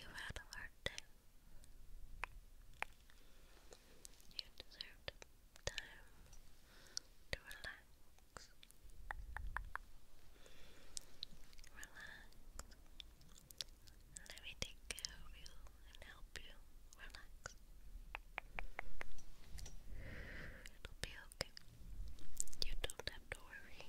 You had a hard day. You deserved time to relax. Relax. Let me take care of you and help you relax. It'll be okay. You don't have Dory. Dory.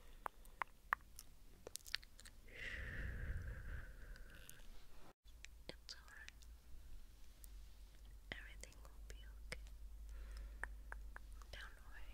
It's alright. Everything will be okay. Don't worry.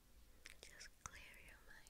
Just clear your mind.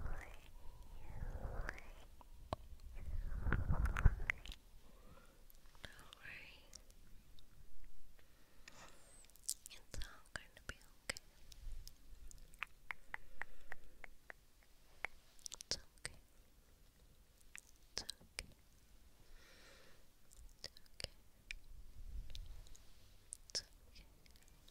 worry. It's all going to be okay. It's okay. It's okay. It's okay. It's okay.